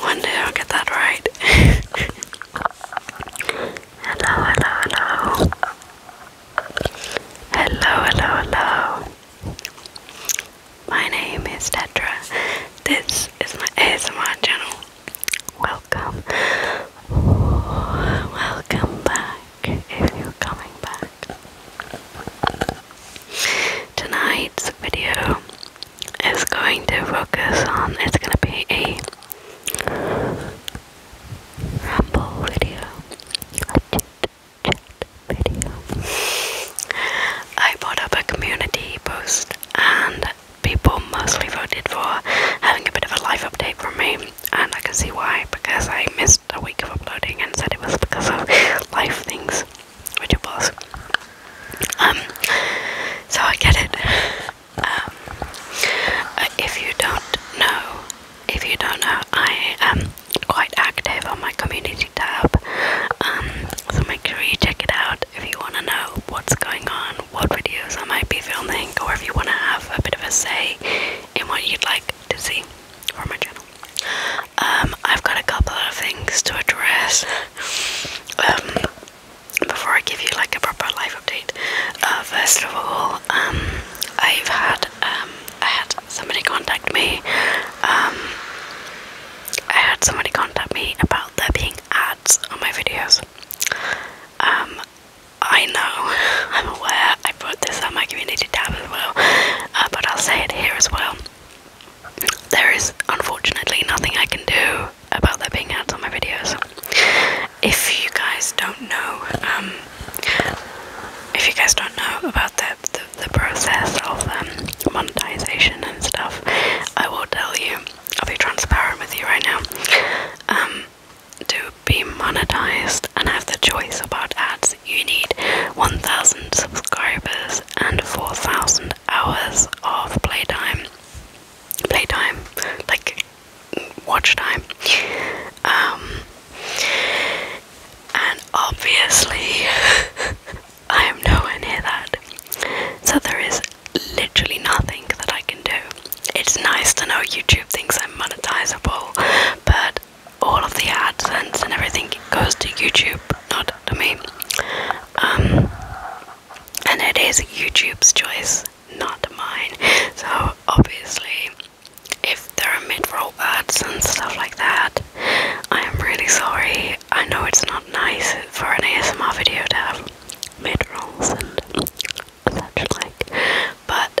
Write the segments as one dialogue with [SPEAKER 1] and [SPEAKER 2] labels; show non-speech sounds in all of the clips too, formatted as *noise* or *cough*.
[SPEAKER 1] One day I'll get that right. *laughs* hello, hello, hello. Hello, hello, hello. My name is Tetra. This is my ASMR channel. Welcome. Welcome back if you're coming back. Tonight's video is going to focus on, it's going to be a ramble video, I put up a community post and people mostly voted for having a bit of a life update from me and I can see why because I missed a week of uploading and said it was because of life things, which it was. Um, so I get it. Um, if you don't know, if you don't know, I am quite active on my community tab, um, so make sure you check it out if you want to know what's going on, what videos I might be filming, or if you want to have a bit of a say in what you'd like to see or my channel. Um, I've got a couple of things to address um, before I give you like a proper life update. Uh, first of all, um, I've had I had somebody contact me. I had somebody contact me about there being ads on my videos. I know, *laughs* I'm aware, I put this on my community tab as well, uh, but I'll say it here as well. There is unfortunately nothing I can do about there being ads on my videos. If you guys don't know, um, if you guys don't know about the, process of um, monetization and stuff, I will tell you, I'll be transparent with you right now. Um, to be monetized and have the choice about ads, you need 1,000 subscribers and 4,000 hours of playtime. Playtime, like watch time. Um, and obviously, *laughs* I am nowhere near that. So there is literally nothing that I can do. It's nice to know YouTube thinks I'm monetizable, but all of the AdSense and everything goes to YouTube, not to me. Um, and it is YouTube's choice, not mine. So obviously, if there are mid-roll ads and stuff like that, I am really sorry. I know it's not nice for an ASMR video to have mid-rolls and such like, but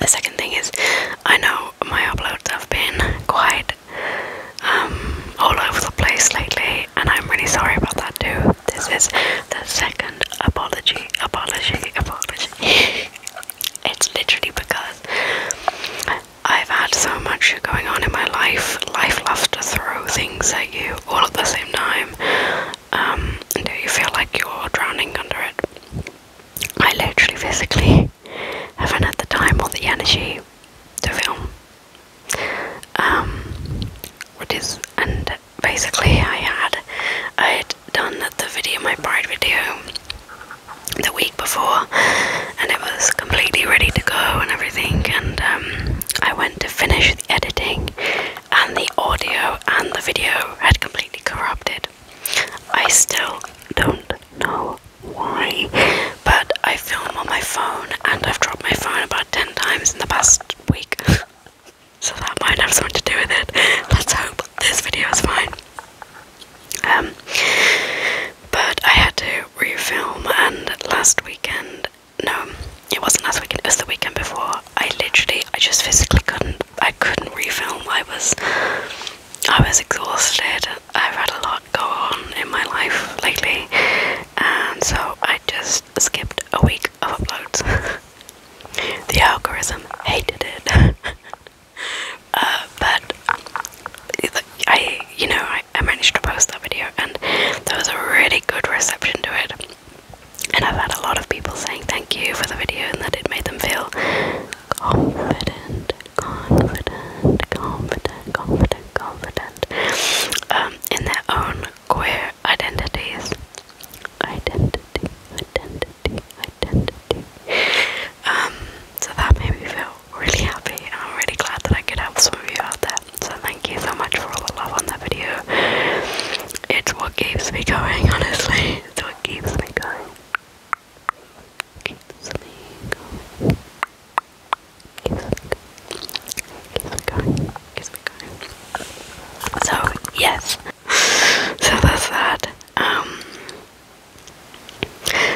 [SPEAKER 1] The second thing is, I know my uploads have been quite um, all over the place lately, and I'm really sorry about that too. This is the second apology, apology, apology. *laughs* it's literally because I've had so much going on in my life. Life loves to throw things at you all at the same time um, until you feel like you're drowning under it. I literally physically haven't had the time or the energy to film. Um, what is and basically I had I had done the video my bride video the week before and it was completely ready to go and everything and um, I went to finish the editing, and the audio and the video had completely corrupted. I still don't know why, but I film on my phone, and I've dropped my phone about 10 times in the past week. *laughs* So that might have something to do with it. Let's hope this video is fine. Um, but I had to refilm, and last weekend no, it wasn't as weekend. It the weekend before. I literally, I just physically couldn't. I couldn't refilm. I was, I was exhausted. I've had a lot go on in my life lately, and so I just skipped a week of uploads. *laughs* the algorithm hated it, *laughs* uh, but I, you know, I, managed to post that video, and there was a really good reception to it. And I've had a lot of people saying thank you for the video and that it made them feel confident, confident, confident, confident, confident um, in their own queer identities. Identity, identity, identity. Um, so that made me feel really happy, and I'm really glad that I could help some of you out there. So thank you so much for all the love on that video. It's what keeps me going, honestly. It's what keeps me going. Keeps me going. So yes. So that's that. Um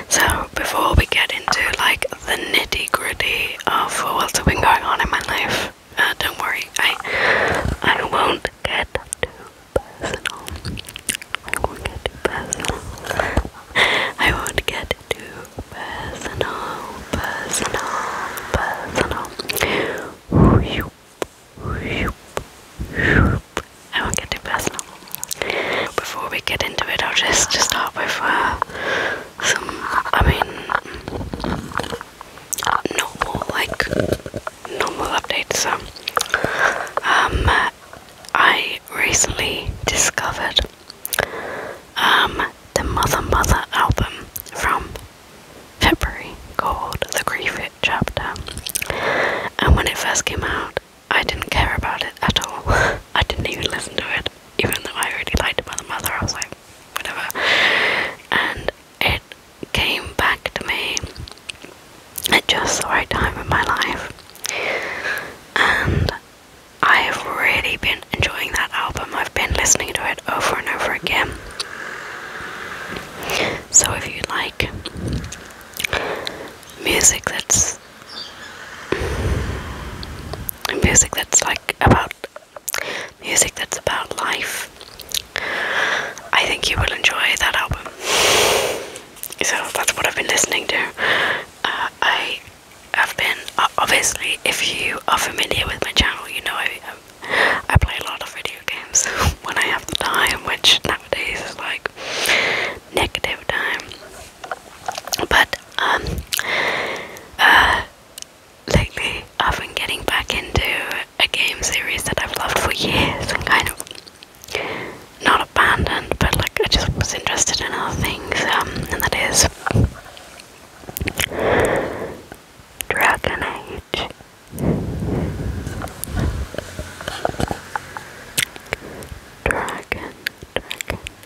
[SPEAKER 1] so before we get into like the nitty gritty of what's been going on in my life. Uh, don't worry, I I won't get too personal. I won't get too personal. I won't get too personal, personal, personal. I won't get too personal. Before we get into it, I'll just start with uh, some, I mean, normal, like, normal updates. Um, I recently discovered um, the Mother Mother album from February called The Grief It Chapter. And when it first came out, I didn't care about it at all. *laughs* I didn't even listen to it, even though I really liked Mother Mother. I was like, whatever and it came back to me at just the right time in my life and I've really been enjoying that album. I've been listening to it over and over again. So if you like music that's music that's like about music that's about life. I think you will enjoy that album. So that's what I've been listening to. Uh, I have been uh, obviously, if you are familiar with my channel, you know I um, I play a lot of video games *laughs* when I have the time, which nowadays is like negative time. But um, uh, lately I've been getting back into a game series that I've loved for years and kind of not abandoned, but like I just was interested in other things, um, and that is Dragon Age. Dragon, dragon,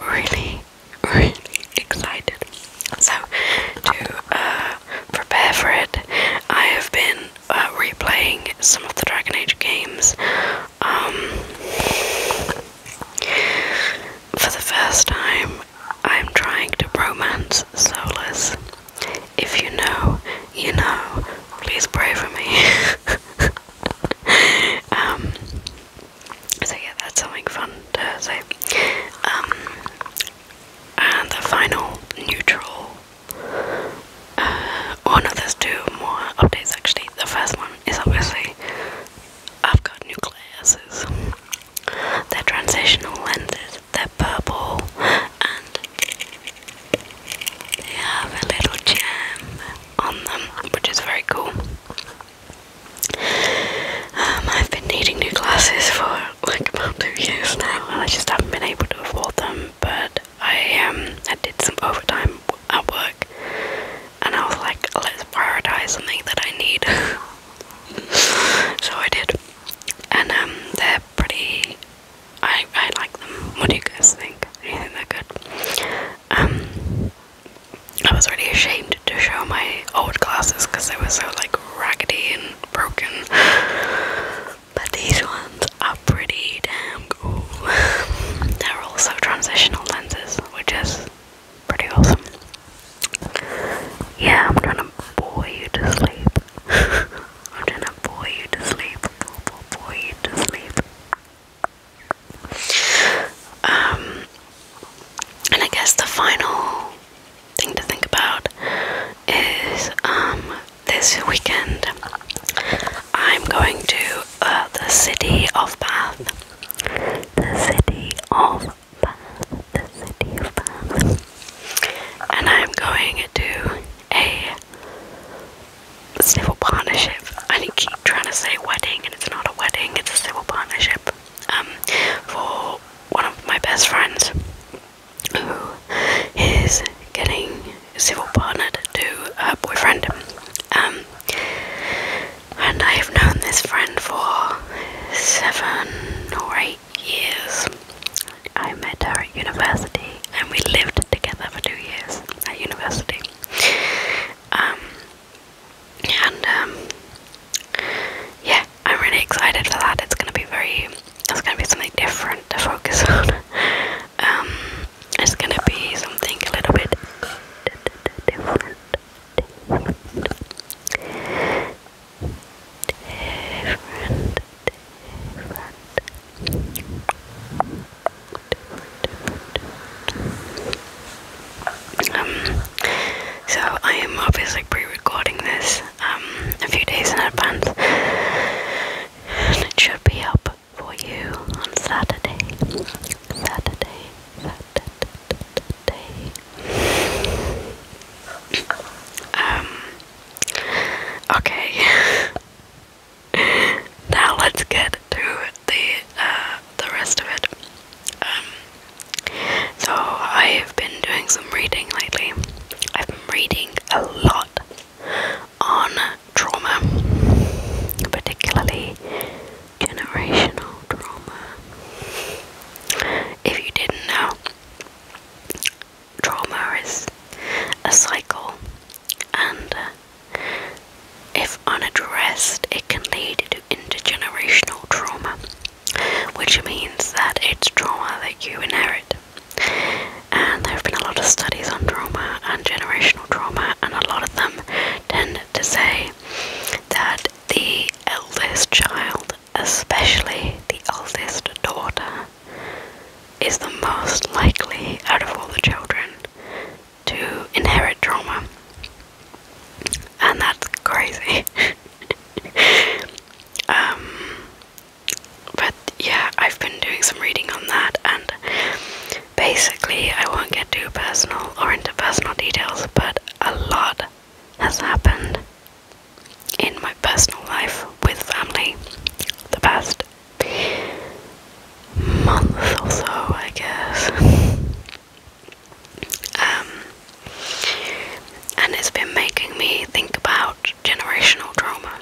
[SPEAKER 1] really, really excited. So, to uh, prepare for it, I have been uh, replaying some of the Dragon Age games um, for the first time. I'm trying to romance Solus. If you know, you know. Please pray for me. *laughs* Um, so yeah, that's something fun to say. Um, and the final neutral. Uh, one of those two more updates actually. The first one is obviously I've got new glasses. They're transitional lenses. They're purple and they have a little gem on them, which is very cool. Um, I've been needing new glasses for like about two years now, and I just haven't been able to afford them. But I um, I did some overtime at work, and I was like, let's prioritize something that I need. *laughs* so I did, and um, they're pretty. I I like them. What do you guys think? you think they're good? Um, I was really ashamed to show my old glasses because they were so like raggedy and broken. But these ones are pretty damn cool. *laughs* They're also transitional lenses, which is pretty awesome. Yeah, I'm trying to bore you to sleep. *laughs* I'm trying to bore you to sleep. Bore, you to sleep. Um, and I guess the final thing to think about is um, this weekend I'm going to uh, the city of Bath. The city of Bath. The city of Bath. And I'm going to a civil partnership. I keep trying to say wedding, and it's not a wedding, it's a civil partnership. Um, for one of my best friends who is getting civil partnered to a boyfriend. Um, and I have known this friend for seven or eight years. I met her at university and we lived together for two years at university. Um, and yeah, I'm really excited for that. It's gonna be very, it's gonna be something different to focus on. it's gonna be something a little bit different. Um, so I am obviously pre-recording this um, a few days in advance, and it should be up for you on Saturday. Saturday, Saturday. Um, okay. *laughs* now let's get to the uh, the rest of it. Um, so I've been doing some reading lately. I've been reading a lot on trauma, particularly generational trauma. If you didn't know, trauma is a cycle, and uh, if unaddressed, it can lead to intergenerational trauma which means that it's trauma that you inherit. And there have been a lot of studies on trauma and generational trauma, and a lot of them tend to say that the eldest child, especially the eldest daughter, is the most likely out of all the children to inherit trauma and that's crazy. *laughs* um, but yeah, I've been doing some reading on that, and basically, I won't get too personal or into personal details, but a lot has happened in my personal life with family the past month or so, I guess. *laughs* Um, and it's been making me think about generational trauma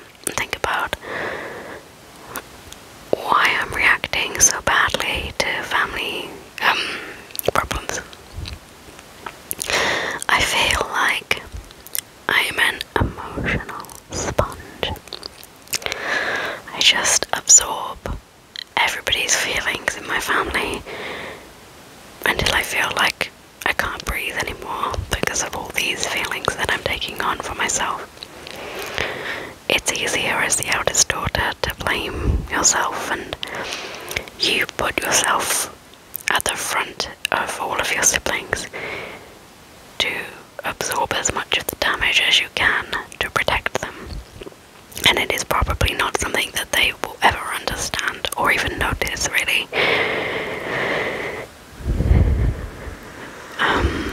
[SPEAKER 1] think about why I'm reacting so badly to family um, problems. I feel like I'm an emotional sponge. I just absorb everybody's feelings in my family until I feel like I can't breathe anymore because of all these feelings that I'm taking on for myself. It's easier as the eldest daughter to blame yourself, and you put yourself at the front of all of your siblings to absorb as much of the damage as you can to protect them and it is probably not something that they will ever understand or even notice, really. Um,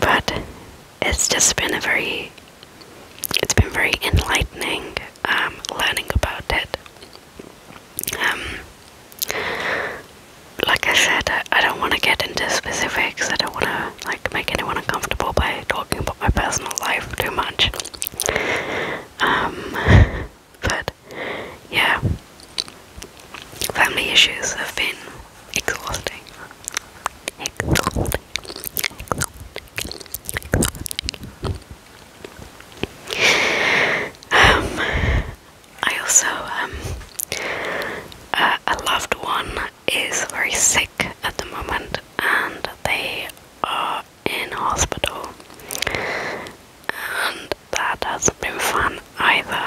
[SPEAKER 1] but it's just been a very, it's been very enlightening um, learning about it. Um, like I said, I don't want to get into specifics. I don't want to like make anyone uncomfortable by talking about my personal life too much. Um, but yeah, family issues have been exhausting. Exhausting. Exhausting. exhausting. Um, I also um, uh, a loved one is very sick at the moment and they are in hospital. And that hasn't been fun either.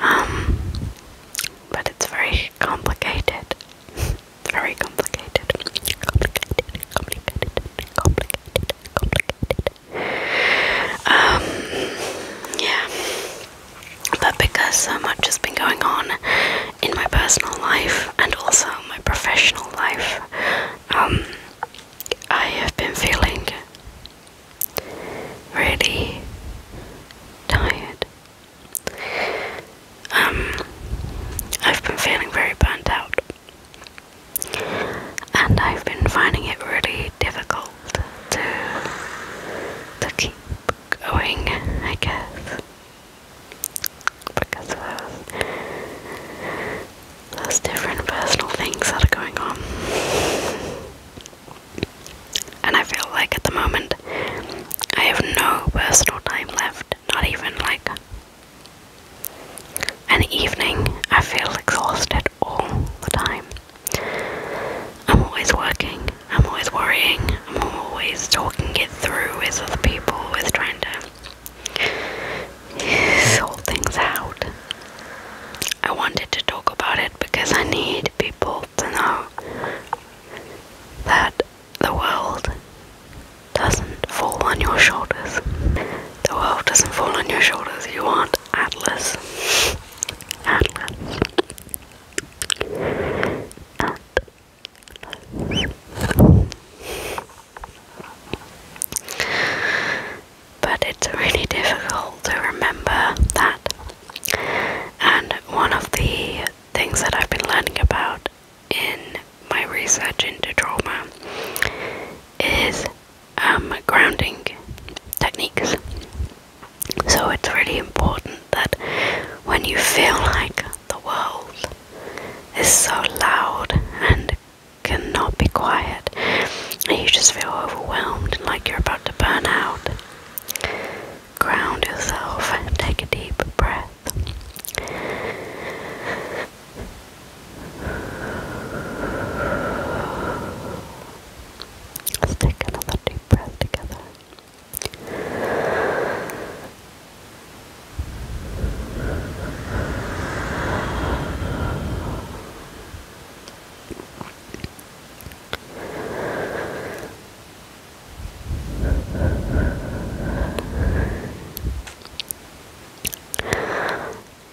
[SPEAKER 1] *laughs* um, but it's very complicated. *laughs* very complicated. Complicated, complicated, complicated, Um, yeah. But because so much has been going on in my personal life and also my professional life, um, I have been feeling really tired. Um, I've been feeling very burnt out, and I've been finding it really difficult to to keep going. I guess because of those, different personal things that are going on. And I feel like at the moment I have no personal time left, not even like an evening. I feel exhausted all the time. I'm always working, I'm always worrying, I'm always talking it through with other people, with trying to sort things out. I wanted to talk about it because I need people to know that the world doesn't fall on your shoulders. The world doesn't fall on your shoulders. You aren't Atlas. Atlas. Atlas. But it's really difficult to remember that. And one of the things that I've been learning about in my research into trauma is um, grounding techniques. So it's really important that when you feel like the world is so loud and cannot be quiet, and you just feel overwhelmed like you're about to burn out. Ground yourself take a deep breath. Let's take another deep breath together.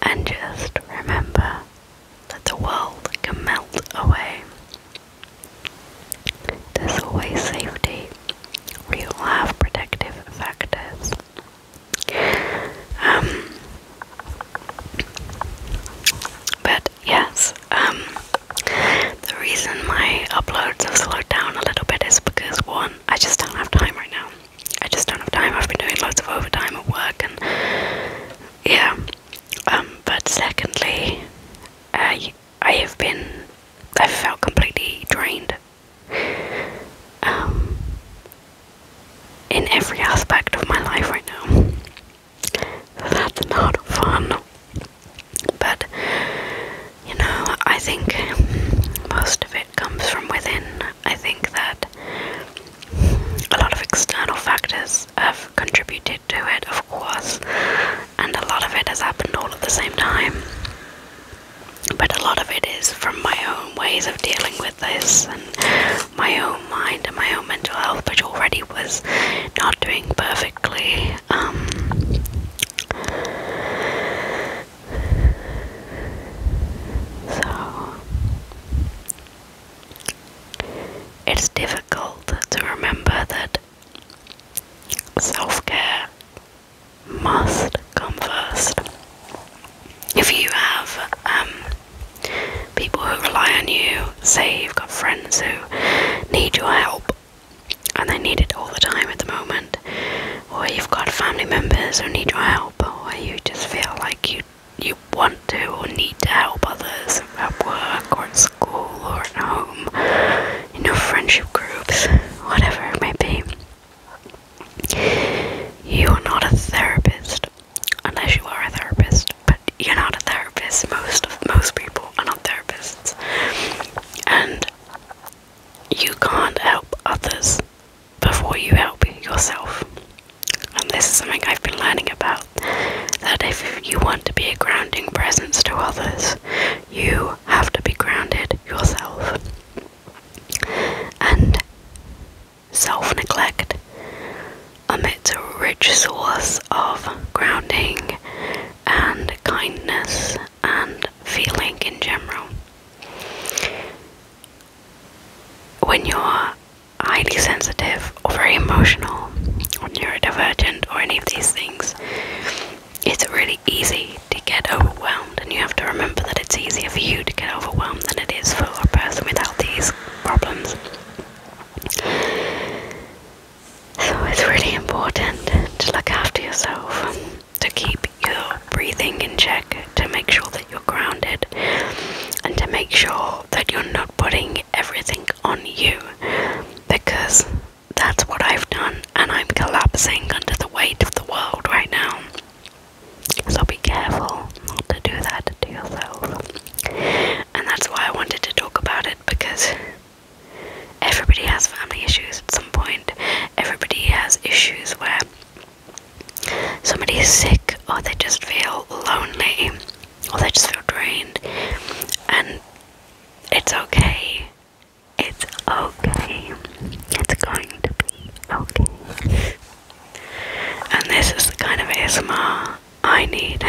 [SPEAKER 1] And just remember that the world can melt away there's always safety, we all have protective factors. Um, but yes, um, the reason my uploads have slowed down a little bit is because one, I just don't have time right now. I just don't have time. I've been doing lots of overtime at work, and yeah. Um, but secondly, uh, I have been I felt completely drained um, in every aspect of my life right now. that's not fun. But you know, I think most of it comes from within. I think that a lot of external factors have contributed to it, of of course, and a lot of it has happened all at the same time. But a lot of it is from my own ways of dealing with this and my own mind and my own mental health, which already was not doing perfectly. Um, so, it's difficult to remember that Self care must come first. If you have um, people who rely on you, say you've got friends who need your help and they need it all the time at the moment, or you've got family members who need your help, or you just feel like you you want to or need to help others at work or at school or at home, you know, friendship groups, whatever it may be. You're not a therapist, unless you are a therapist, but you're not a therapist. Most of most people are not therapists. And you can't help others before you help yourself. And this is something I've been learning about that if you want to be a grounding presence to others, you have to be grounded yourself. And self neglect emits a rich source of grounding and kindness and feeling in general. When you're highly sensitive or very emotional or neurodivergent or any of these things, it's really easy to get overwhelmed, and you have to remember that it's easier for you to get overwhelmed than it is for a person without these problems. So it's really important to look after yourself, to keep your breathing in check, to make sure that you're grounded, and to make sure that you're not putting everything on you because that's what I've done, and I'm collapsing under the weight of the world right now. So be careful not to do that to yourself. And that's why I wanted to talk about it because everybody has family issues at some point, everybody has issues where somebody is sick or they just feel lonely or they just feel drained and it's okay it's okay. It's going to be okay. And this is the kind of ASMR I need.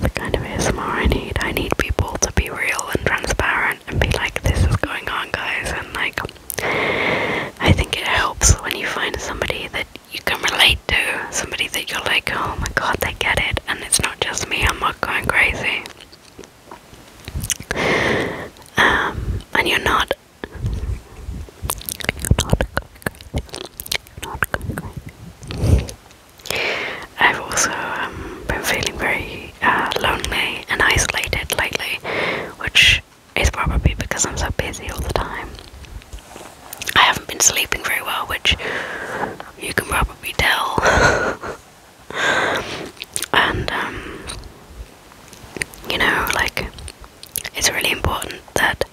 [SPEAKER 1] the kind of ASMR I need. I need people to be real and transparent and be like, this is going on, guys. And like, I think it helps when you find somebody that you can relate to, somebody that you're like, oh my god, they get it. And it's not not just me, I'm not going crazy. Um, and you're not. I've also um, been feeling very uh, lonely and isolated lately, which is probably because I'm so busy all the time. I haven't been sleeping very well, which you can probably. We tell. *laughs* and um, you know, like it's really important that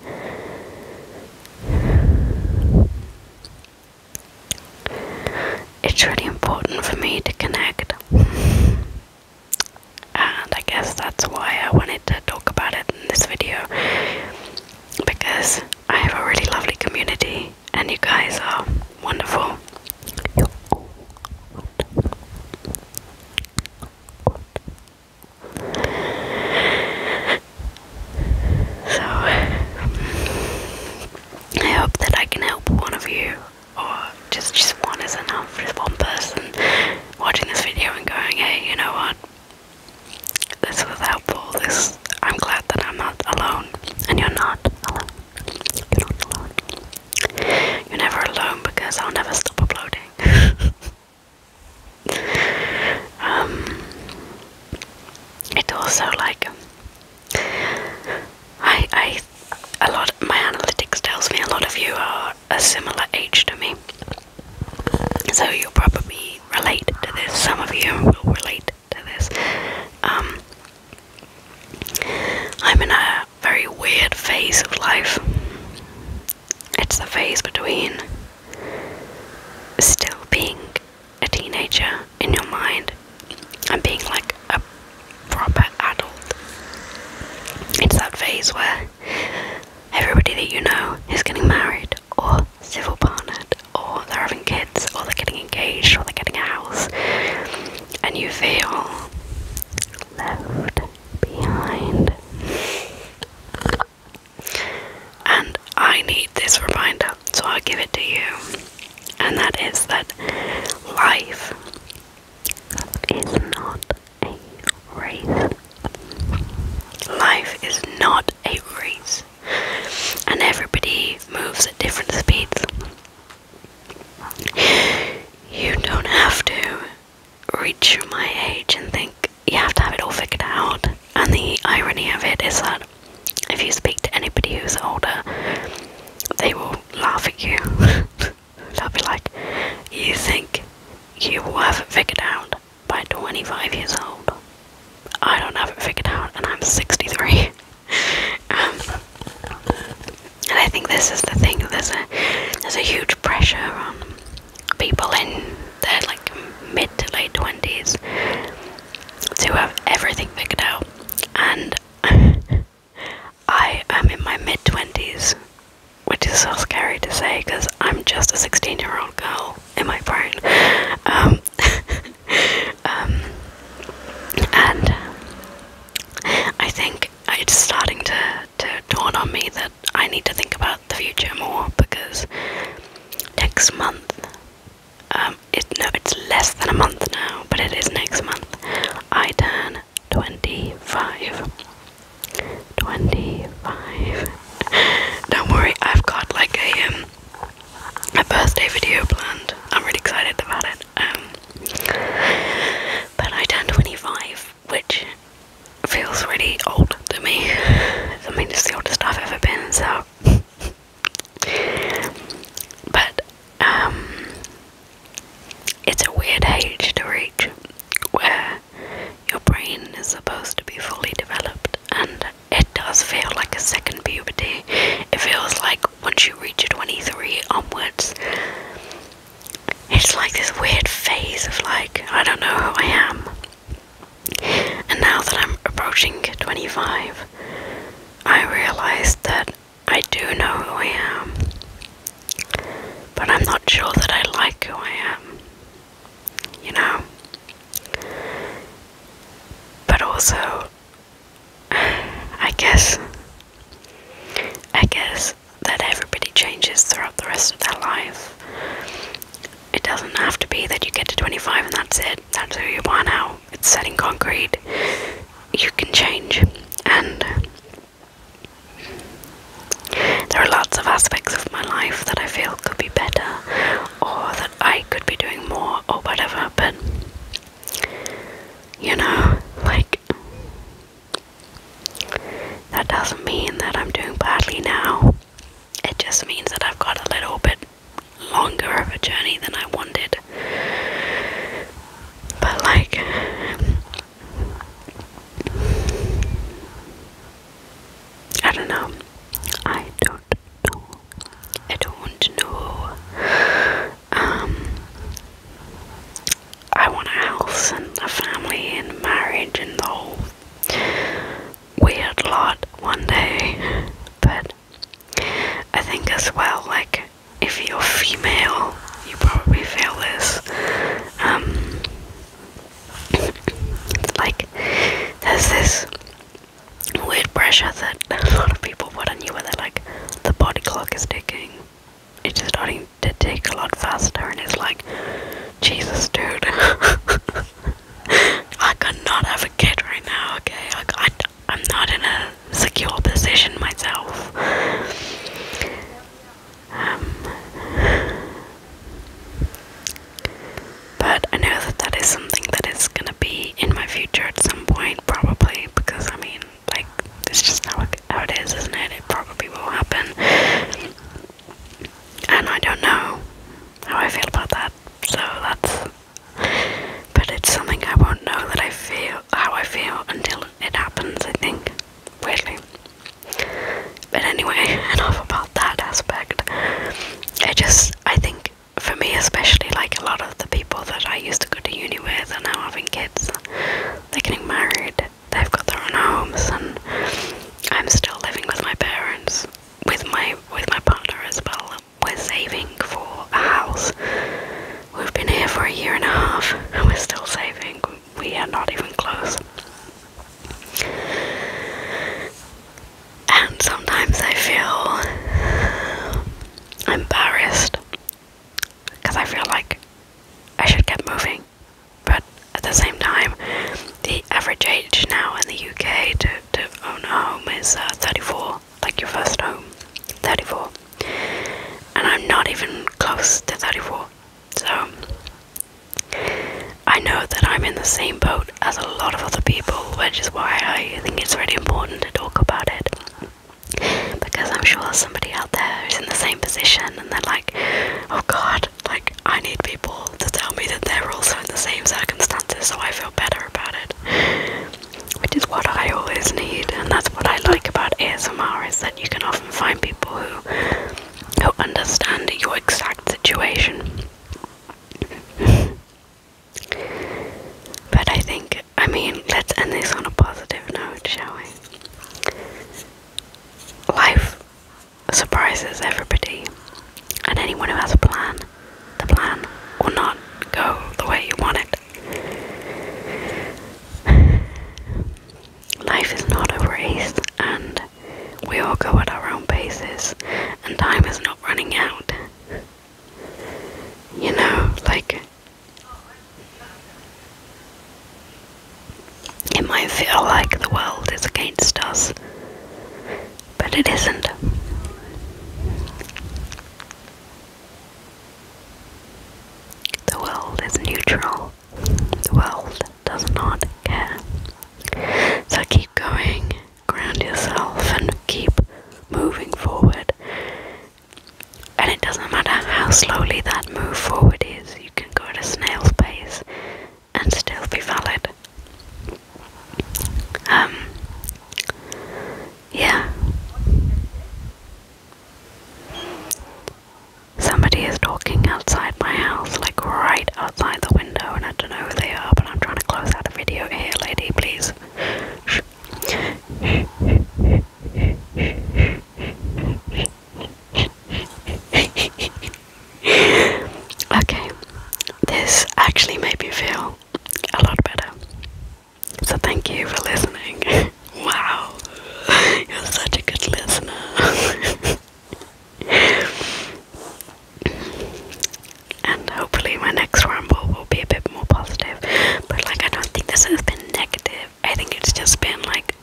[SPEAKER 1] it's really important for me to connect. And I guess that's why I wanted to talk about it in this video because I have a really lovely community and you guys are wonderful. So, I hope that I can help one of you, or just just one is enough, just one person watching this video and going, hey, you know what? This was helpful. This I'm glad that I'm not alone, and you're not alone. You're never alone because I'll never stop uploading. *laughs* um, it also like I I a lot. my analytics tells me a lot of you are a similar age to me, so you'll probably relate to this. Some of you will relate to this. Um, I'm in a very weird phase of life. It's the phase between still being a teenager in your mind and being like a proper adult. It's that phase where everybody that you know is getting married or civil partner, or they're having kids, or they're getting engaged, or they're getting a house, and you feel left behind. And I need this reminder, so I'll give it to you. And that is that life is not a race. Life is not a race and everybody moves at different speeds. You don't have to reach my age and think you have to have it all figured out. And the irony of it is that if you speak to anybody who's older, they will laugh at you. *laughs* They'll be like, You think you will have it figured out by 25 years old? I don't have it figured out, and I'm 63. *laughs* Um, and I think this is the thing. There's a there's a huge pressure on people in their like mid to late twenties to have everything figured out, and *laughs* I am in my mid twenties, which is so scary to say because I'm just a sixteen year old girl in my brain. Um, *laughs* Um, and I think it's starting to, to dawn on me that I need to think about the future more because next month, um, it, no, it's less than a month now, but it is next month, I turn 25. 25. *laughs* Don't worry, I've got like a um, my birthday video planned. I'm really excited about it. Um, but I turned 25, which feels really old to me. *laughs* I mean, it's the oldest I've ever been, so. *laughs* but, um, it's a weird age to reach where your brain is supposed to be fully developed and it does feel like a second puberty. It feels like once you reach 23 onwards, it's like this weird phase of like, I don't know who I am. And now that I'm approaching 25, I realize that I do know who I am, but I'm not sure that I like who I am, you know? But also, I guess. I guess that everybody changes throughout the rest of their life. It doesn't have to be that you get to 25 and that's it. That's who you are now. It's set in concrete. You can change. And there are lots of aspects of my life that I feel could be better or that I could be doing more or whatever, but you know, like, that doesn't mean that I'm doing badly now. It just means that I've got a little bit longer of a journey than I wanted. But, like, I don't know. I don't know. I don't want to know. Um, I want a house and a family and marriage and the whole weird lot one day. But I think as well, like if you're female, you probably feel this. Um, *laughs* like there's this weird pressure that *laughs* a lot of people put on you where they're like, the body clock is ticking. It's starting to tick a lot faster, and it's like, Jesus, dude. *laughs* I cannot have a kid right now, okay? I, I'm not in a secure position myself. Um, but I know that that is something that is gonna be in my future at some point, probably because I mean like it's just how it, how it is isn't it it probably will happen and I don't know how I feel about that so that's but it's something I won't know that I feel how I feel until it happens I think weirdly but anyway *laughs* enough about that aspect I just I think for me especially like a lot of the people that I used to go to uni with are now having kids. They're getting married, they've got their own homes and I'm still living with my parents, with my with my partner as well. We're saving for a house. We've been here for a year and a half and we're still saving. We are not even close. And sometimes I feel I'm embarrassed because I feel like I should get moving, but at the same time, the average age now in the UK to, to own a home is uh, 34, like your first home, 34, and I'm not even close to 34, so I know that I'm in the same boat as a lot of other people, which is why I think it's really important to talk about it. Because I'm sure there's somebody out there who's in the same position and they're like, oh god, like I need people to tell me that they're also in the same circumstances so I feel better about it. Which is what I always need, and that's what I like about ASMR is that you can often find people who who understand your exact situation. *laughs* But I think, I mean, let's end this on a positive note, shall we? Life surprises everybody, and anyone who has a plan, the plan will not go the way you want it. Life is not a race, and we all go at our own paces, and time is not running out. You know, like it might feel like the world is against us, but it isn't. The world is neutral. The world does not care. So keep going, ground yourself, and keep moving forward and it doesn't matter how slowly that move forward is, you can go at a snail's pace and still be valid. Um, yeah. Somebody is talking outside my house, like right outside the window, and I don't know who they are, but I'm trying to close out a video here, lady, please okay, this actually made me feel a lot better. So, thank you for listening. *laughs* wow, you're such a good listener. *laughs* and hopefully, my next ramble will be a bit more positive. But like I don't think this has been negative. I think it's just been like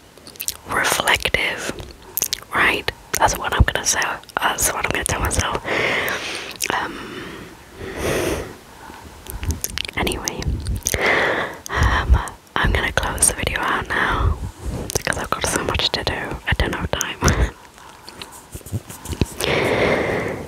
[SPEAKER 1] reflective, right? That's what I'm gonna say. That's what I'm gonna tell myself. Um. Anyway, um, I'm gonna close the video out now because I've got so much to do. I don't have time. *laughs*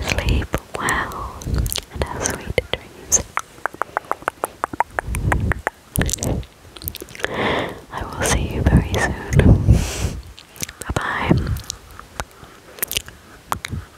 [SPEAKER 1] Sleep well and have sweet dreams. I will see you very soon. Bye bye.